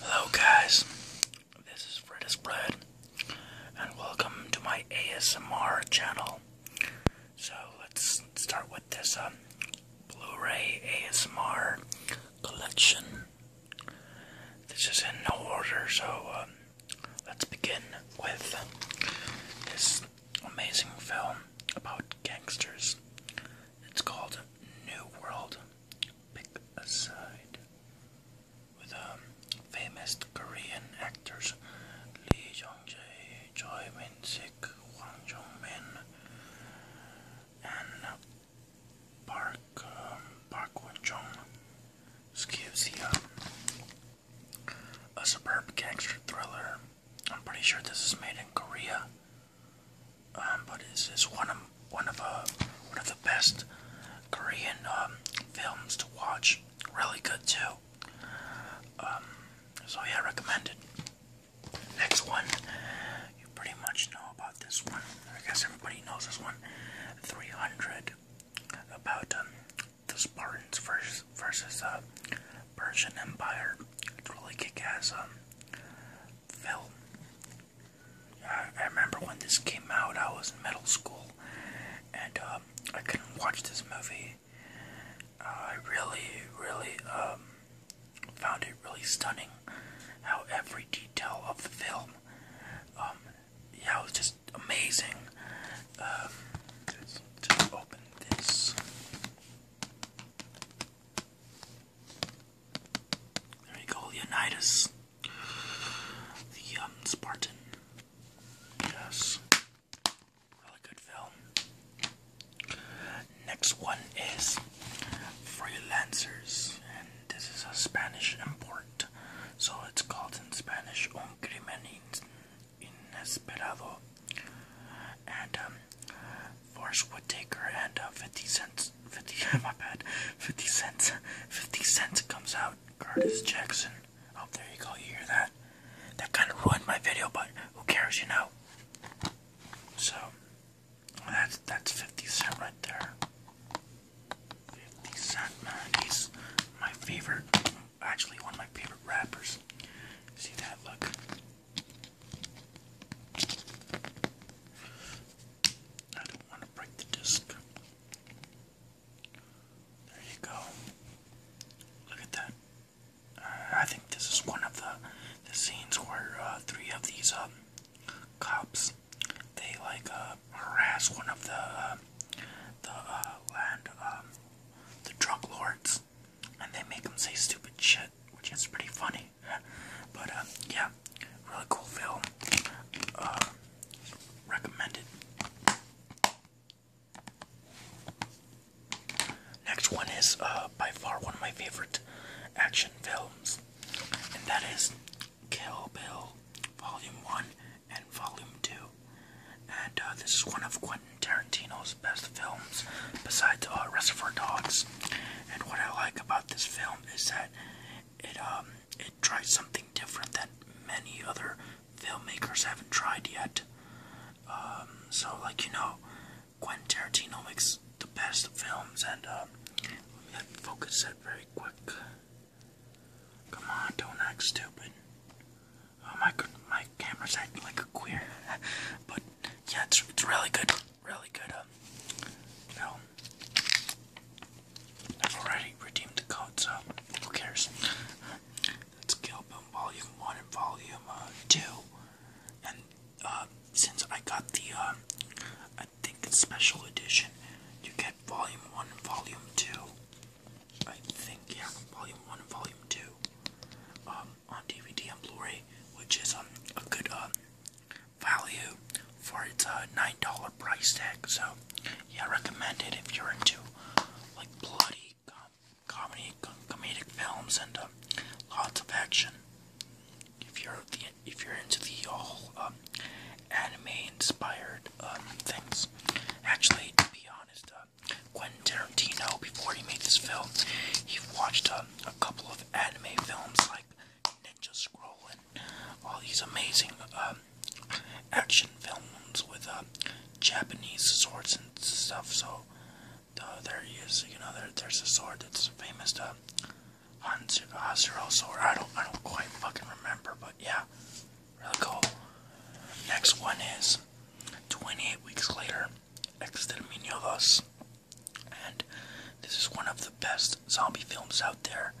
Hello, guys. This is Fred is and welcome to my ASMR channel. So let's start with this uh, Blu-ray ASMR collection. This is in no order, so um, let's begin with this amazing film about gangsters it's called New World Pick a Side with um, famous Korean actors Lee Jong-jae, Choi Min-sik, Hwang Jong-min, and Park um, Park Won-jung. This gives you um, a superb gangster thriller. I'm pretty sure this is made in Korea. Um, but it's, one of one of uh, the best Korean um, films to watch. Really good too. Um, so yeah, recommend it. Next one, you pretty much know about this one. I guess everybody knows this one. 300 about the Spartans versus versus uh, Persian Empire. It's really kick-ass film. I, remember when this came out, I was in middle school, and um, I couldn't watch this movie. Uh, I really, really um, found it really stunning how every detail of the film, um, yeah, it was just amazing. let's, let open this. There you go, Leonidas. The um, Spartan. Yes. Really good film. Next one is Freelancers, and this is a Spanish import. So it's called in Spanish Un crimen inesperado. And um, Force Would Take Her and 50 cents, 50, my bad, 50 cents, 50 cents comes out, Curtis Jackson, oh, there you go, you hear that, that kind of ruined my video, but who cares, you know, so, that's, that's 50 cent right there, 50 cent, man, he's my favorite, actually one of my favorite rappers, see that, look, I don't want to break the disc. There you go. Look at that. Uh, I think this is one of the, the scenes where uh, three of these um, cops they like uh, harass one of the uh, the land um, the drug lords, and they make them say stupid shit, which is pretty funny. But um, yeah, really cool film. Uh, recommended. Next one is uh, by far one of my favorite action films, and that is Kill Bill Volume 1 and Volume 2. And uh, this is one of Quentin Tarantino's best films, besides Reservoir Dogs. And what I like about this film is that it um, it tries something different that many other filmmakers haven't tried yet. Um, so like you know, Quentin Tarantino makes the best films, and um, let me focus that very quick. Come on, don't act stupid. Oh my god, my camera's acting like a queer. but yeah, it's it's really good really good uh, film. I've already redeemed the code, so who cares? Let's kill Boom Volume 1 and Volume uh, 2. And uh, since I got the, uh, I think it's Special Edition, you get Volume 1 and Volume 2. I think, yeah, Volume 1 and Volume 2 um, on DVD and Blu-ray, which is um, a good uh, value for its uh, $9 price tag. So, yeah, I recommend it if you're into like bloody comedy, comedic films, and uh, lots of action. If you're the, if you're into the whole um, anime-inspired um, things, actually, to be honest, uh, Quentin Tarantino before he made this film, he watched uh, a couple of anime films like Ninja Scroll and all these amazing um, action films with um, Japanese swords and stuff. So there is You know, there's a sword that's famous. Uh, Hanzuro sword. I don't, I don't quite fucking remember, but yeah, really cool. Next one is 28 weeks later. Exterminio 2 and this is one of the best zombie films out there.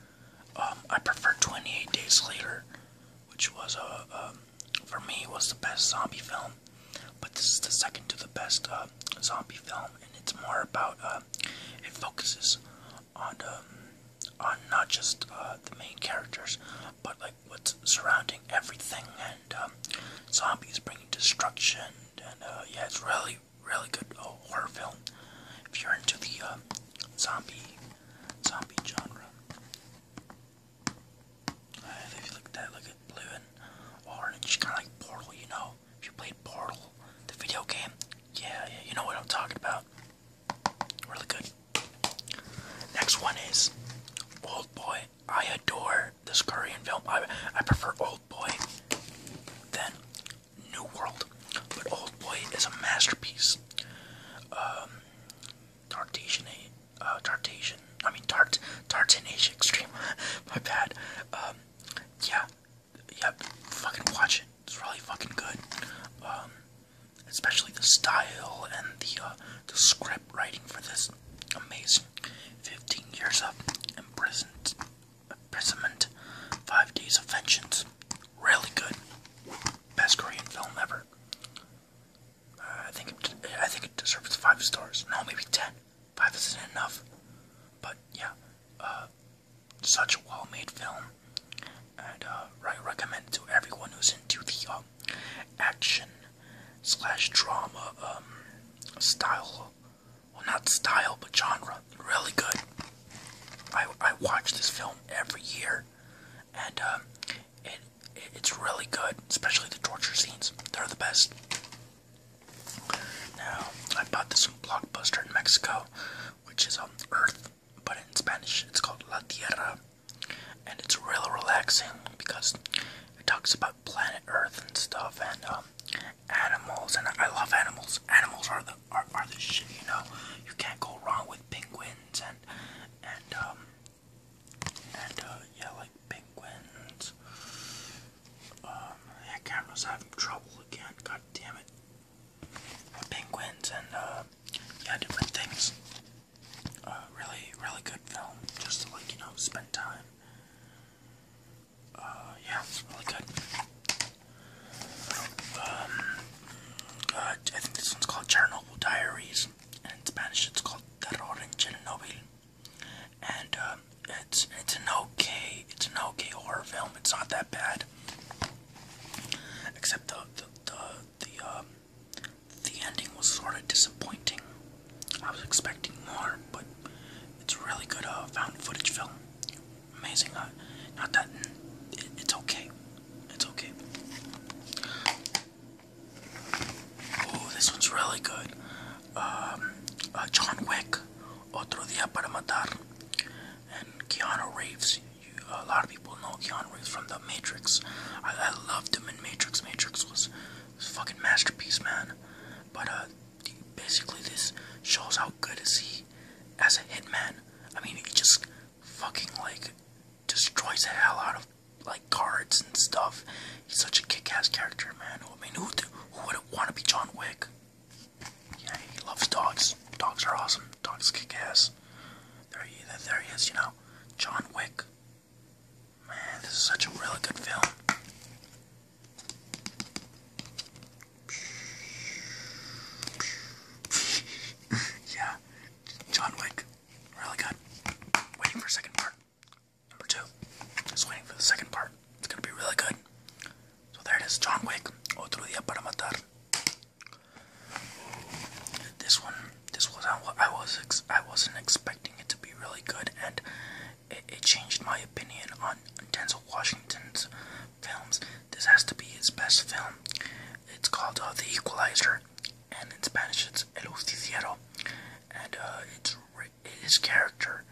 Um, I prefer 28 Days Later, which was a uh, um, for me was the best zombie film, but this is the second to the best uh, zombie film, and it's more about uh, it focuses on um, on not just uh, the main characters, but like what's surrounding everything and zombies bringing destruction and uh, yeah, it's really, really good uh, horror film if you're into the uh, zombie, zombie genre. Uh, if you look at that, look at blue and orange, kind of like Portal, you know. If you played Portal, the video game, yeah, yeah, you know what I'm talking about. Really good. Next one is Old Boy. I adore this Korean film. I I prefer Old Boy than New World, but Old Boy is a masterpiece. Um, Tartation, uh, I mean Tart Tartanish Extreme. My bad. Um, yeah, yeah. Fucking watch it. It's really fucking good. Um, especially the style and the uh, the script writing for this amazing 15 years of imprisonment, 5 days of vengeance. Really good. Best Korean film ever. Uh, I think it, I think it deserves 5 stars. No, maybe 10. 5 isn't enough. But yeah, uh, such a well-made film. And I uh, recommend it to everyone who's into the um, action slash drama um, style well, not style, but genre. Really good. I, I watch this film every year, and um, it, it's really good, especially the torture scenes. They're the best. Now, I bought this Blockbuster in Mexico, which is on um, Earth, but in Spanish it's called La Tierra, and it's really relaxing because it talks about planet Earth and stuff and um, animals, and I love animals. Animals are the are, the shit, you know. You can't go wrong with penguins and and um, and uh, yeah, like penguins. Um, yeah, camera's having trouble again. God damn it. Penguins and uh, yeah, different things. Uh, really, really good film. Just to like you know, spend time. Uh, yeah, it's really good. Um, uh, I think this one's called Chernobyl Diaries, and in Spanish it's called Terror en Chernobyl. And um, it's it's an okay it's an okay horror film. It's not that bad, except the the the the, um, the ending was sort of disappointing. I was expecting more, but it's really good uh, found footage film. Amazing. Uh, not that it's okay. It's okay. Oh, this one's really good. Um, uh, John Wick, Otro Dia para Matar, and Keanu Reeves. a lot of people know Keanu Reeves from The Matrix. I, I loved him in Matrix. Matrix was fucking masterpiece, man. But uh, basically, this shows how good is he as a hitman. I mean, he just fucking like destroys the hell out of like cards and stuff. He's such a kick-ass character, man. I mean, who, would want to be John Wick? Yeah, he loves dogs. Dogs are awesome. Dogs kick ass. There he, there he is, you know. John Wick, Man, this is such a really good film. yeah, John Wick, really good. Waiting for second part. Number two, just waiting for the second part. It's gonna be really good. So there it is, John Wick, Otro Dia Para Matar. This one, this was I was I wasn't expecting it to be really good, and it, changed my opinion on Denzel Washington's films. This has to be his best film. It's called uh, The Equalizer, and in Spanish it's El Justiciero. And uh, it's his character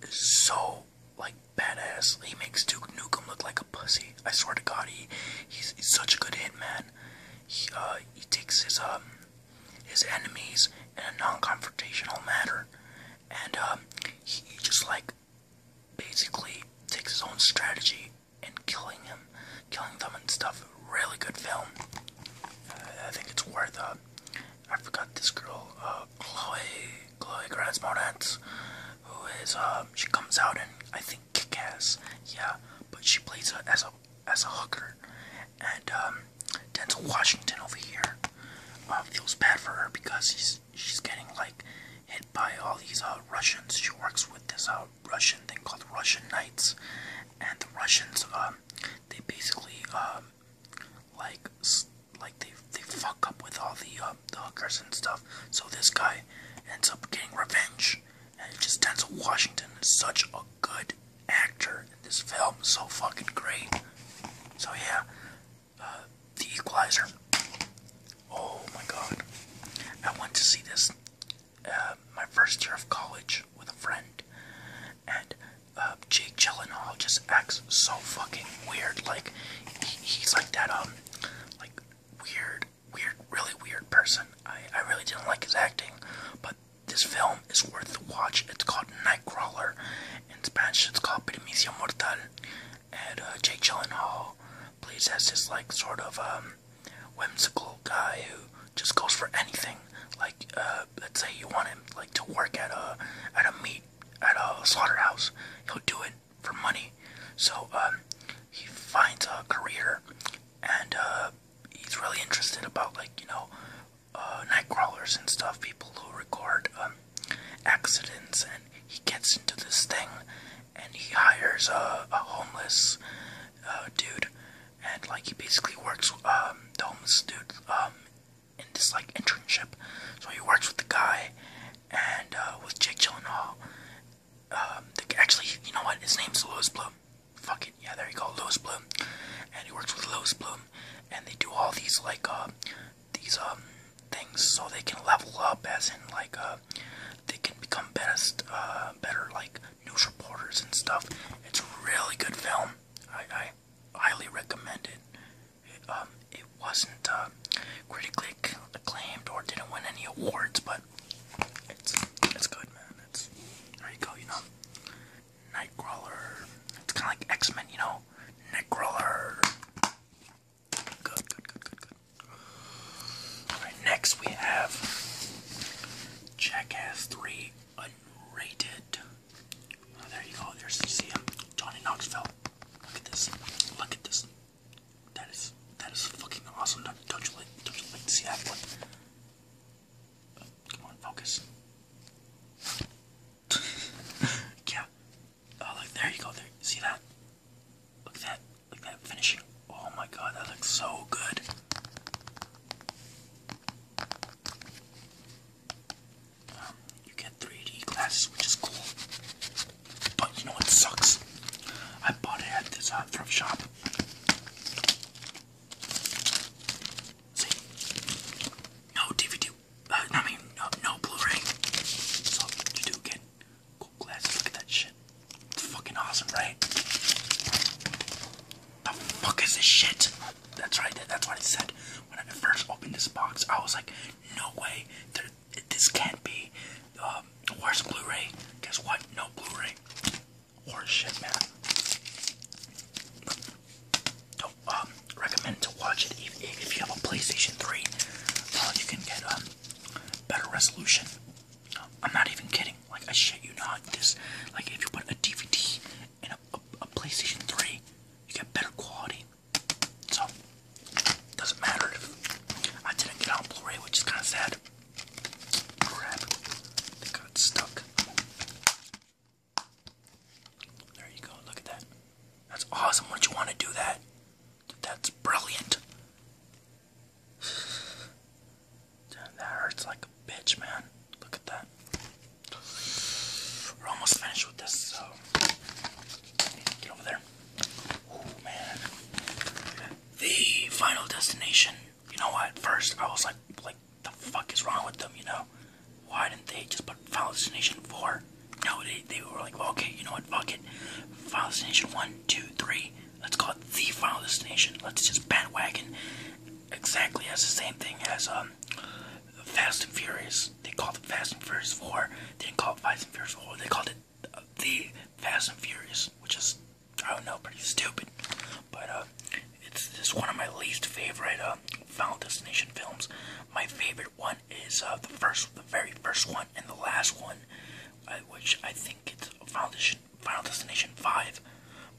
is so like badass. He makes Duke Nukem look like a pussy. I swear to God, he he's, such a good hitman. He uh, he takes his um his enemies in a non-confrontational manner, and um, he, just like basically takes his own strategy and killing him, killing them and stuff. Really good film. I think it's worth. Uh, I forgot this girl, uh, Chloe, Chloe Grace Moretz, who is uh, she comes out and I think kick Yeah, but she plays her as a as a hooker. And um, Denzel Washington over here uh, feels bad for her because he's she's getting like hit by all these uh, Russians. She works with this uh, Russian thing called Russian Knights, and the Russians um, they basically um, like like they they fuck up with all the uh, the hookers and stuff. So this guy ends up getting revenge, and just Denzel Washington is such a good actor in this film. So fucking great. So yeah, uh, The Equalizer. Oh my god. I went to see this uh, my first year of college with a friend. And uh, Jake Gyllenhaal just acts so fucking weird. Like, he's like that, um, like, weird, weird, really weird person. I, I really didn't like his acting, but this film is worth the watch. It's called Nightcrawler. In Spanish, it's called Primicia Mortal. And uh, Jake Gyllenhaal plays as this like sort of um, whimsical guy who just goes for anything. Like uh, let's say you want him like to work at a at a meat at a slaughterhouse, he'll do it for money. So um, he finds a career, and uh, he's really interested about like you know uh, night crawlers and stuff, people who record um, accidents, and he gets into this thing, and he hires a, homeless uh, dude, and like he basically works um, the homeless dude um, in this like internship. So he works with the guy, and uh, with Jake Gyllenhaal. Um, actually, you know what? His name's Louis Bloom fucking yeah, there you go, Louis Bloom, and he works with Louis Bloom, and they do all these like uh, these um things so they can level up, as in like uh, they can become best uh better like news reporters and stuff. It's a really good film. I I highly recommend it. it um, it wasn't uh, critically acclaimed or didn't win any awards, but it's it's good, man. It's there you go, you know. Nightcrawler. It's kind of like X Men, you know? Nightcrawler. Good, good, good, good, good. Alright, next we have Jackass 3 Unrated. Oh, there you go. There's, see him? Johnny Knoxville. Look at this. Look at this. That is that is fucking awesome. Don't, don't you like don't you like to see that one? Come on, focus. yeah. Oh, look, there you go. There, see that? Look at that. Look at that finishing. Oh my god, that looks so good. Um, you get 3D glasses, which is cool. But you know what sucks? I bought it at this uh, thrift shop. See? No DVD. Uh, I mean, no, no Blu-ray. So you do again. cool glasses. Look at that shit. It's fucking awesome, right? The fuck is this shit? That's right. That's what I said when I first opened this box. I was like, no way. this can't be. Um, where's Blu-ray? Guess what? No Blu-ray. Or shit, man. Don't um, recommend to watch it even if you have a PlayStation 3. Uh, you can get um, better resolution. I'm not even kidding. Like I shit you not. This like if you put a DVD in a, PlayStation 3, you get better quality. So doesn't matter if I didn't get on Blu-ray, which is kind of sad. Crap, they got stuck. There you go. Look at that. That's awesome. Would you want to do that? That's brilliant. That hurts like a bitch, man. Look at that. We're almost finished with this, so get over there. Oh man. The final destination. You know what? First, I was like, like the fuck is wrong with them, you know? Why didn't they just put Final Destination 4? No, they, they were like, okay, you know what, fuck it. Final Destination 1, 2, 3. Let's call it the Final Destination. Let's just bandwagon. Exactly as the same thing as um, Fast and Furious. They called it Fast and Furious 4. They didn't call it Fast and Furious 4. They called it the Fast and Furious, which is I don't know, pretty stupid. But uh, it's just one of my least favorite uh, Final Destination films. My favorite one is uh, the first, the very first one, and the last one, uh, which I think it's Final Destination, Final Destination Five.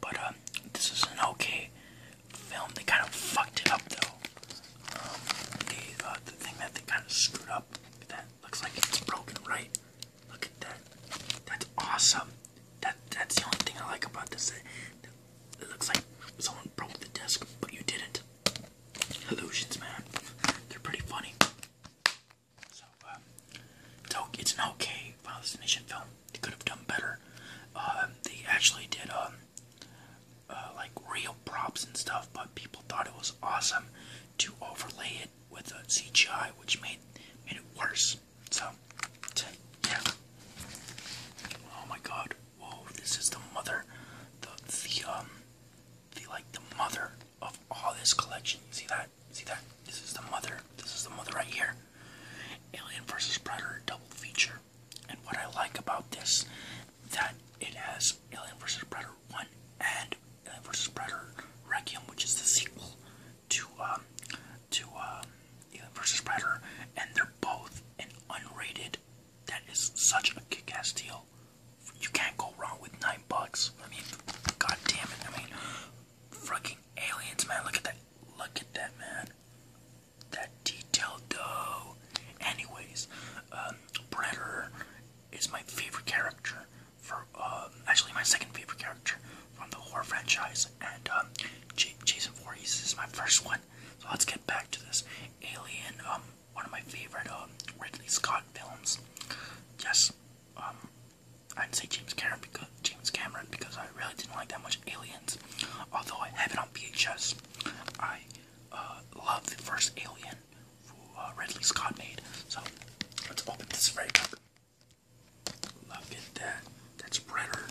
But um, this is an okay film. They kind of fucked it up though. Um, the uh, the thing that they kind of screwed up that looks like it's broken, right? Look at that. That's awesome. That that's the only thing I like about this. It looks like someone broke the desk, but you didn't. Illusions, man. They're pretty funny. So, uh, it's, it's an okay Final film. They could have done better. Uh, they actually did, um, uh, like real props and stuff, but people thought it was awesome to overlay it with a CGI, which made made it worse. So, yeah. Oh my God! Whoa! This is the mother, the the um, the like the mother of all this collection. See that? See that? This is the mother. This is the mother right here. Alien versus Predator double feature. And what I like about this, that it has Alien versus Predator one and Alien versus Predator Requiem, which is the sequel to um to um Alien vs Predator, and they're both an unrated. That is such a kick-ass deal. You can't go wrong with nine bucks. I mean, god damn it! I mean, fucking aliens, man. Look at that. Look at that, man. That detail, though. Anyways, um, Predator is my favorite character. For um, actually, my second favorite character from the horror franchise, and um, Jason Voorhees is my first one. So let's get back to this Alien, um, one of my favorite um, Ridley Scott films. Yes, I um, didn't say James Cameron because James Cameron because I really didn't like that much Aliens. Although I have it on VHS, I uh, love the first Alien. Uh, Ridley Scott made. So let's open this right up. Look at that. That's Predator.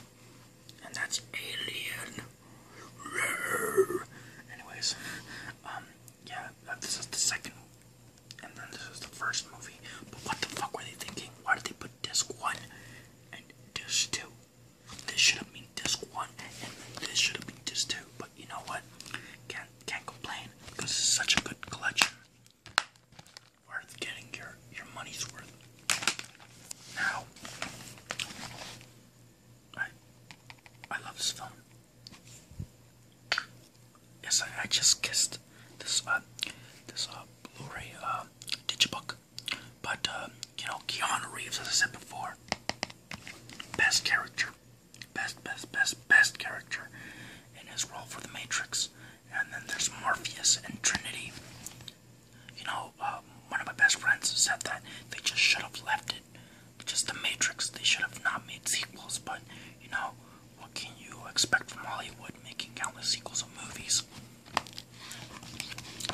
And that's Alien. Anyways, um, yeah, uh, this is the second, and then this is the first movie. But what the fuck were they thinking? Why did they put disc one and disc two? This should have been disc one, and this should have been disc two. But you know what? Can't can't complain because it's such a good collection worth getting your, your money's worth. Now, I, I love this phone. Yes, I, I just kissed this uh, this uh, Blu-ray uh, digibook, but uh, you know Keanu Reeves, as I said before, best character, best best best best character in his role for The Matrix and then there's Morpheus and Trinity. You know, uh, one of my best friends said that they just should have left it. Just the Matrix. They should have not made sequels, but you know, what can you expect from Hollywood making countless sequels of movies?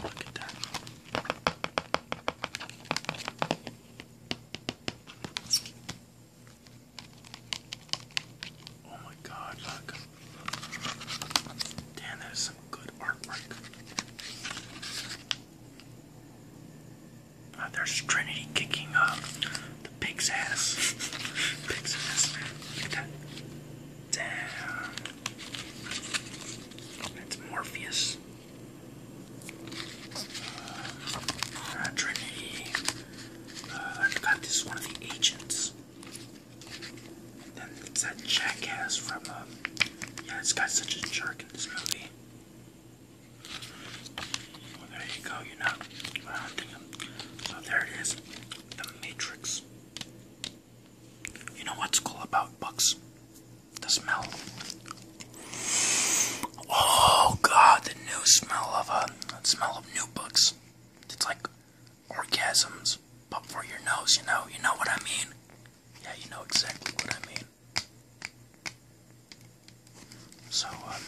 Look at that. Oh my god, look. Damn, that is some good artwork. Ah, there's Trinity kicking up the pig's ass. pig's ass, man. Look at that. Damn. That's Morpheus. Ah, Trinity. Ah, got this one of the agents. And it's that jackass from, um, yeah, it's got such a jerk in this movie. Well, there you go, you know. so there it is, The Matrix. You know what's cool about books? The smell. Oh God, the new smell of a uh, smell of new books. It's like orgasms, but for your nose, you know, you know what I mean? Yeah, you know exactly what I mean. So, um,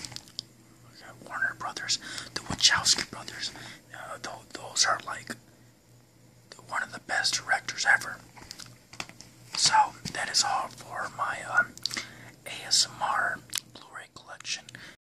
okay, Warner Brothers, the Wachowski brothers, uh, those are like one of the best directors ever. So, that is all for my um, ASMR Blu ray collection.